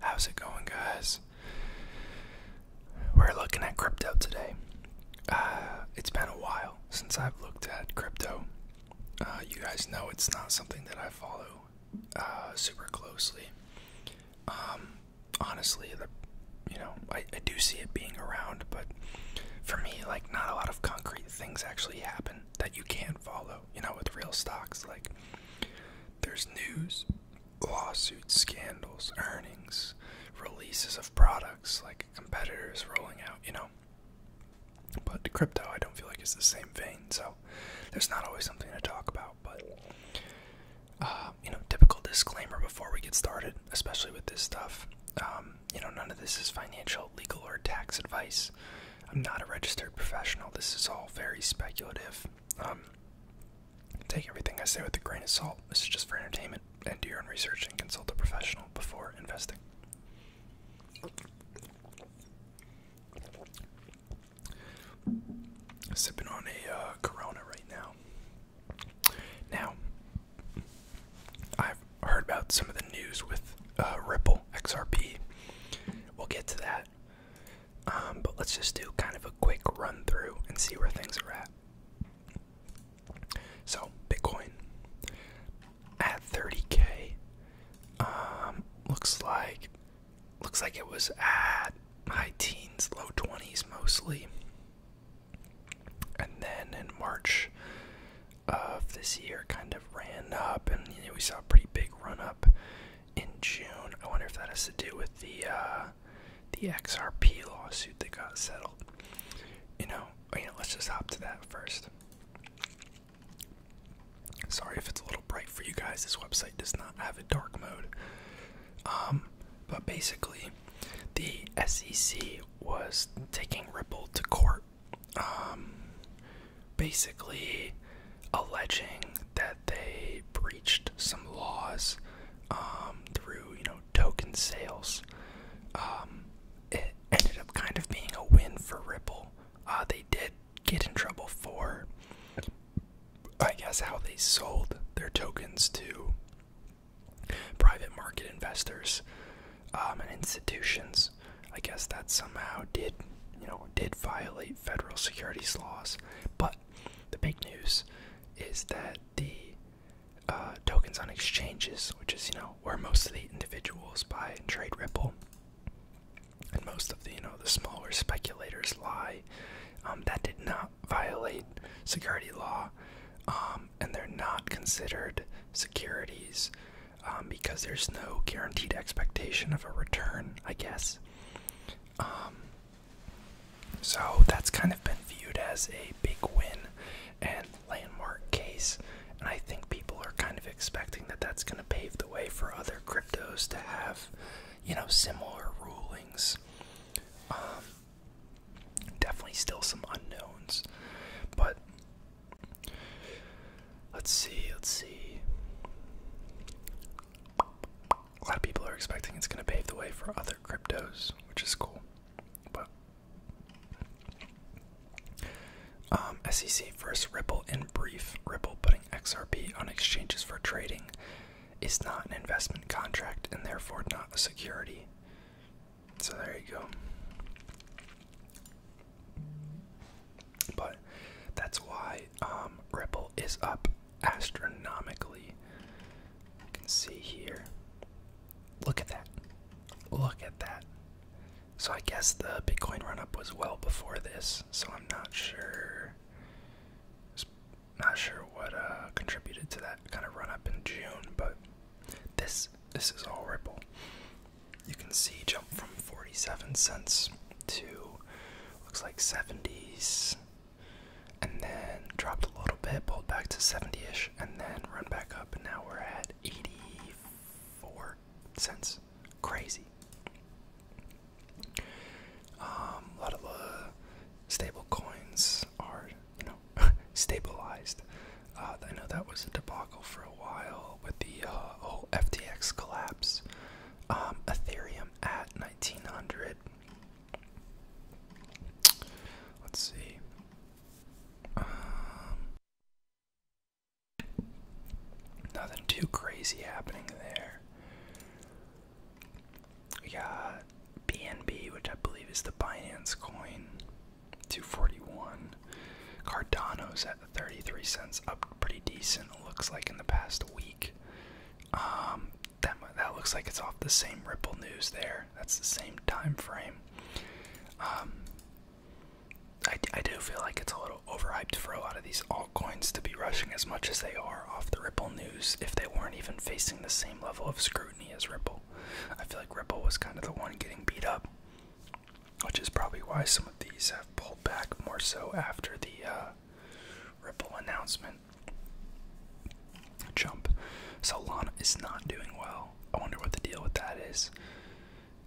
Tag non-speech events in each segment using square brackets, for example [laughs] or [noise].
How's it going, guys? We're looking at crypto today. Uh, it's been a while since I've looked at crypto. Uh, you guys know it's not something that I follow uh, super closely. Um, honestly, you know, I, I do see it being around, but for me, like, not a lot of concrete things actually happen that you can't follow. You know, with real stocks, like there's news, lawsuits, scandals, earnings, releases of products like competitors rolling out, you know. But crypto, I don't feel like it's the same vein, so there's not always something to talk about. But, uh, you know, typical disclaimer before we get started, especially with this stuff. Um, you know, none of this is financial, legal, or tax advice. I'm not a registered professional. This is all very speculative. Um, take everything I say with a grain of salt. This is just for entertainment. And do your own research and consult a professional before investing. Sipping on a uh, Corona right now. Now, I've heard about some of the news with uh, Ripple XRP. We'll get to that. Um, but let's just do kind of a quick run through and see where things are at. So, Bitcoin at 30k um, looks like looks like it was at high teens, low 20s mostly. And then in March of this year kind of ran up and we saw a pretty big run up in June. I wonder if that has to do with the uh, the XRP lawsuit that got settled. You know, you know, let's just hop to that first. Sorry if it's a little bright for you guys. This website does not have a dark mode. Um, but basically, the SEC was taking Ripple to court um, basically alleging that they breached some laws um, through, you know, token sales. Um, it ended up kind of being a win for Ripple. Uh, they did get in trouble for, I guess, how they sold their tokens to private market investors and institutions. I guess that somehow did, you know, did violate federal securities laws. But the big news is that the uh, tokens on exchanges, which is, you know, where most individuals buy and trade Ripple, and most of the, you know, the smaller speculators lie, um, that did not violate security law, um, and they're not considered securities um, because there's no guaranteed expectation of a return, I guess. Um, so that's kind of been viewed as a big win and landmark case, and I think people are kind of expecting that that's going to pave the way for other cryptos to have, you know, similar rulings. Um, definitely still some unknowns, but Let's see, let's see. A lot of people are expecting it's going to pave the way for other cryptos, which is cool. But um, SEC first Ripple in brief. Ripple putting XRP on exchanges for trading is not an investment contract and therefore not a security. So there you go. But that's why um, Ripple is up astronomically. You can see here. Look at that. Look at that. So I guess the Bitcoin run up was well before this, so I'm not sure. Not sure what uh, contributed to that kind of run up in June, but this this is all Ripple you can see jump from 47 cents to looks like 70s and then dropped a little bit pulled back to 70ish and then run back up and now we're at 84 cents crazy um, a lot of uh, stable coins are you know [laughs] stabilized uh, i know that was a debacle for a while with the uh, FTX collapse. Um, Ethereum at 1900. Let's see. Um, nothing too crazy happening there. We got BNB, which I believe is the Binance coin, 241. Cardano's at 33 cents up pretty decent looks like in the past week um, that that looks like it's off the same ripple news there that's the same time frame um, I, I do feel like it's a little overhyped for a lot of these altcoins to be rushing as much as they are off the Ripple news if they weren't even facing the same level of scrutiny as Ripple. I feel like Ripple was kind of the one getting beat up which is probably why some of these have pulled back more so after the uh, Ripple announcement jump. So Lana is not doing well. I wonder what the deal with that is.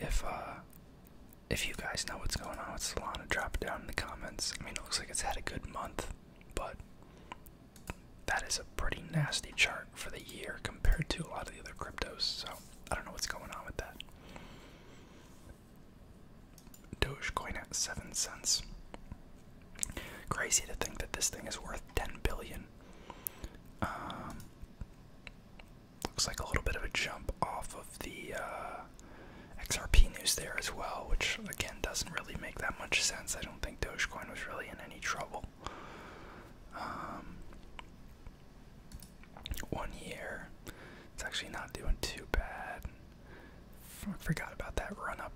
If uh, if you guys know what's going on with Lana, drop it down in the comments. I mean, it looks like it's had a good month, but that is a pretty nasty chart for the year compared to a lot of the other cryptos. So I don't know what's going on with that. Dogecoin at 7 cents. Crazy to think that this thing is worth 10 billion. Um, looks like a little bit of a jump off of the uh, XRP news there as well, which again doesn't really make that much sense. I don't think Dogecoin was really in any trouble. Um, one year. It's actually not doing too bad. I forgot about that run up.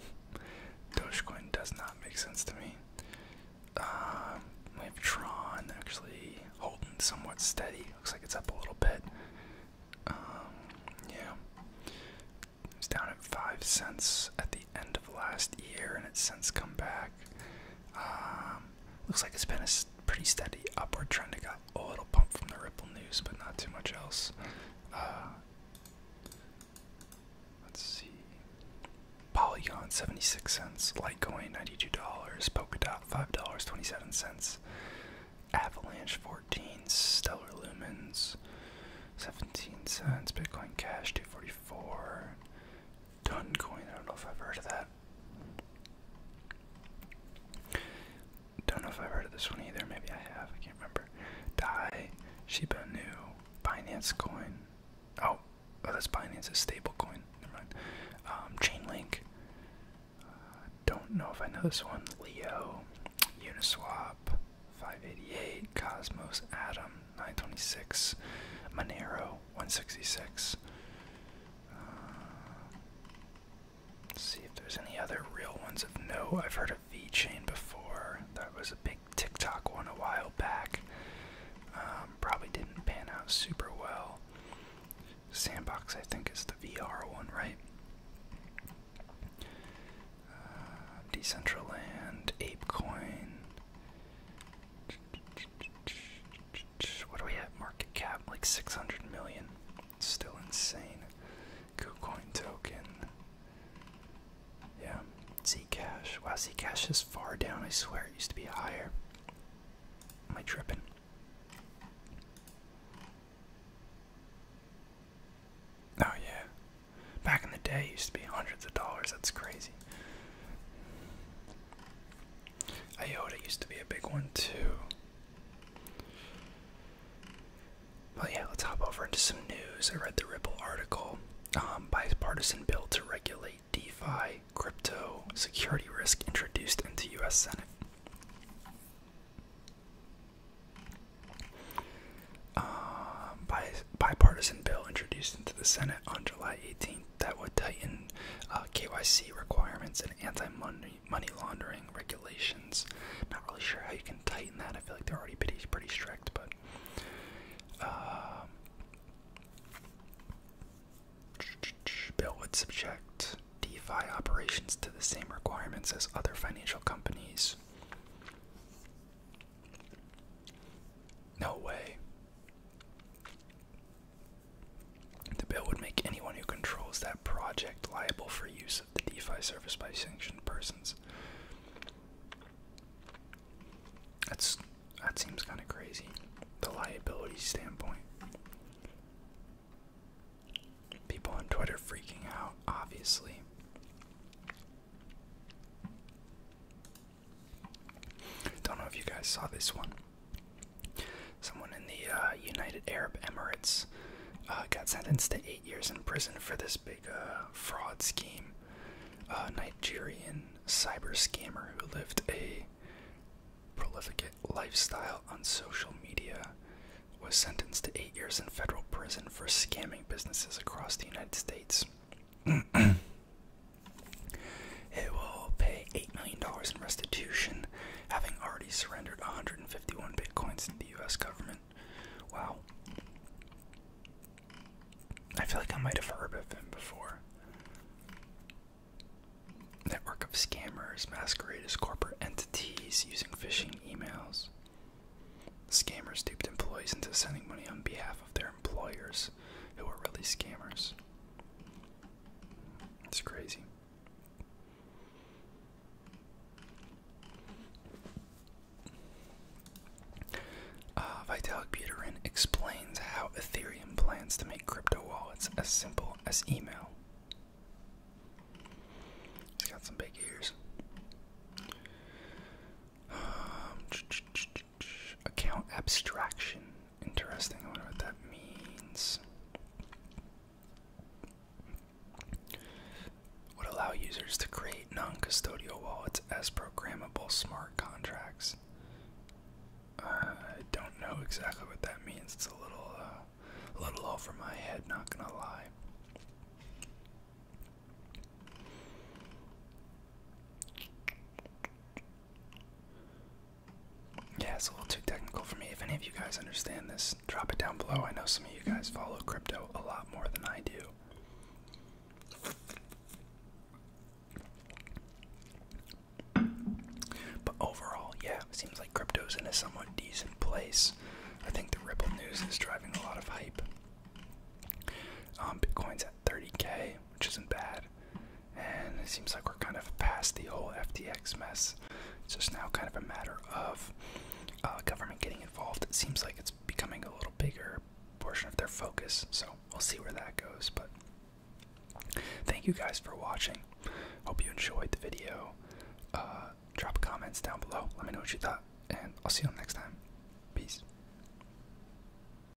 [laughs] Dogecoin does not make sense to me. Um, we have Tron actually holding somewhat steady. Looks like it's up a little bit. Um, yeah. It's down at 5 cents at the end of last year and it's since come back. Um, looks like it's been a pretty steady upward trend. I got a little pump from the Ripple news, but not too much else. Uh, let's see. Polygon, 76 cents. Litecoin, $92. Polkadot, $5.27. Avalanche, 14 Stellar Lumens, 17 cents. Bitcoin Cash, 244 Duncoin. I don't know if I've heard of that. Don't know if I've heard of this one either. Maybe I have. I can't remember. Dai, Shiba New. Finance Coin. Oh, oh that's Binance, a stable coin. Never mind. Um, Chainlink. Uh, don't know if I know this one. Leo, Uniswap, 588, Cosmos, Atom, 926, Monero, 166 let's see if there's any other real ones of note. I've heard of V-Chain before. That was a big TikTok one a while back. Um, probably didn't pan out super well. Sandbox, I think, is the VR one, right? Uh, Decentraland, ApeCoin. What are we at? Market cap like 600 million. Still insane. KuCoin token. Yeah. Zcash. Wow, Zcash is far down. I swear it used to be higher. Am I tripping? Oh yeah. Back in the day, it used to be hundreds of dollars. That's crazy. Iota used to be a big one too. Well, yeah, let's hop over into some news. I read the Ripple article. Um, bipartisan bill to regulate DeFi crypto security risk introduced into U.S. Senate. Um, bipartisan bill introduced into the Senate on July 18, that would tighten uh, KYC requirements and anti-money money laundering regulations. Not really sure how you can tighten that. I feel like they're already pretty pretty strict, but. Uh, Bill would subject DeFi operations to the same requirements as other financial companies. No way. The bill would make anyone who controls that project liable for use of the DeFi service by sanctioned persons. That's that seems kind of crazy, the liability standpoint. People on Twitter freaking out, obviously. Don't know if you guys saw this one. Someone in the uh, United Arab Emirates uh, got sentenced to eight years in prison for this big uh, fraud scheme. A Nigerian cyber scammer who lived a prolific lifestyle on social media was sentenced to eight years in federal prison for scamming businesses across the United States. [clears throat] It will pay $8 million in restitution, having already surrendered 151 bitcoins to the US government. Wow. I feel like I might have heard of him before. Network of scammers masquerade as corporate entities using phishing emails. Scammers duped employees into sending money on behalf of their employers, who were really scammers. It's crazy. Uh, Vitalik Buterin explains how Ethereum plans to make crypto wallets as simple as email. He's got some big ears. Um, [tsk] [tsk] Account abstraction. Interesting. I wonder what that means. Would allow users to create non custodial wallets as programmable smart contracts. Uh, I don't know exactly what that means. It's a little, uh, a little over my head, not gonna lie. Yeah, it's a little too technical for me. If any of you guys understand this, drop it down below. I know some of you guys follow crypto a lot more than I do. But overall, yeah, it seems like crypto's in a somewhat decent place. I think the Ripple news is driving a lot of hype. Um, Bitcoin's at 30k, which isn't bad and it seems like we're kind of past the old FTX mess. It's just now kind of a matter of uh, government getting involved. It seems like it's becoming a little bigger portion of their focus, so we'll see where that goes. But thank you guys for watching. Hope you enjoyed the video. Uh, drop comments down below. Let me know what you thought, and I'll see you next time. Peace.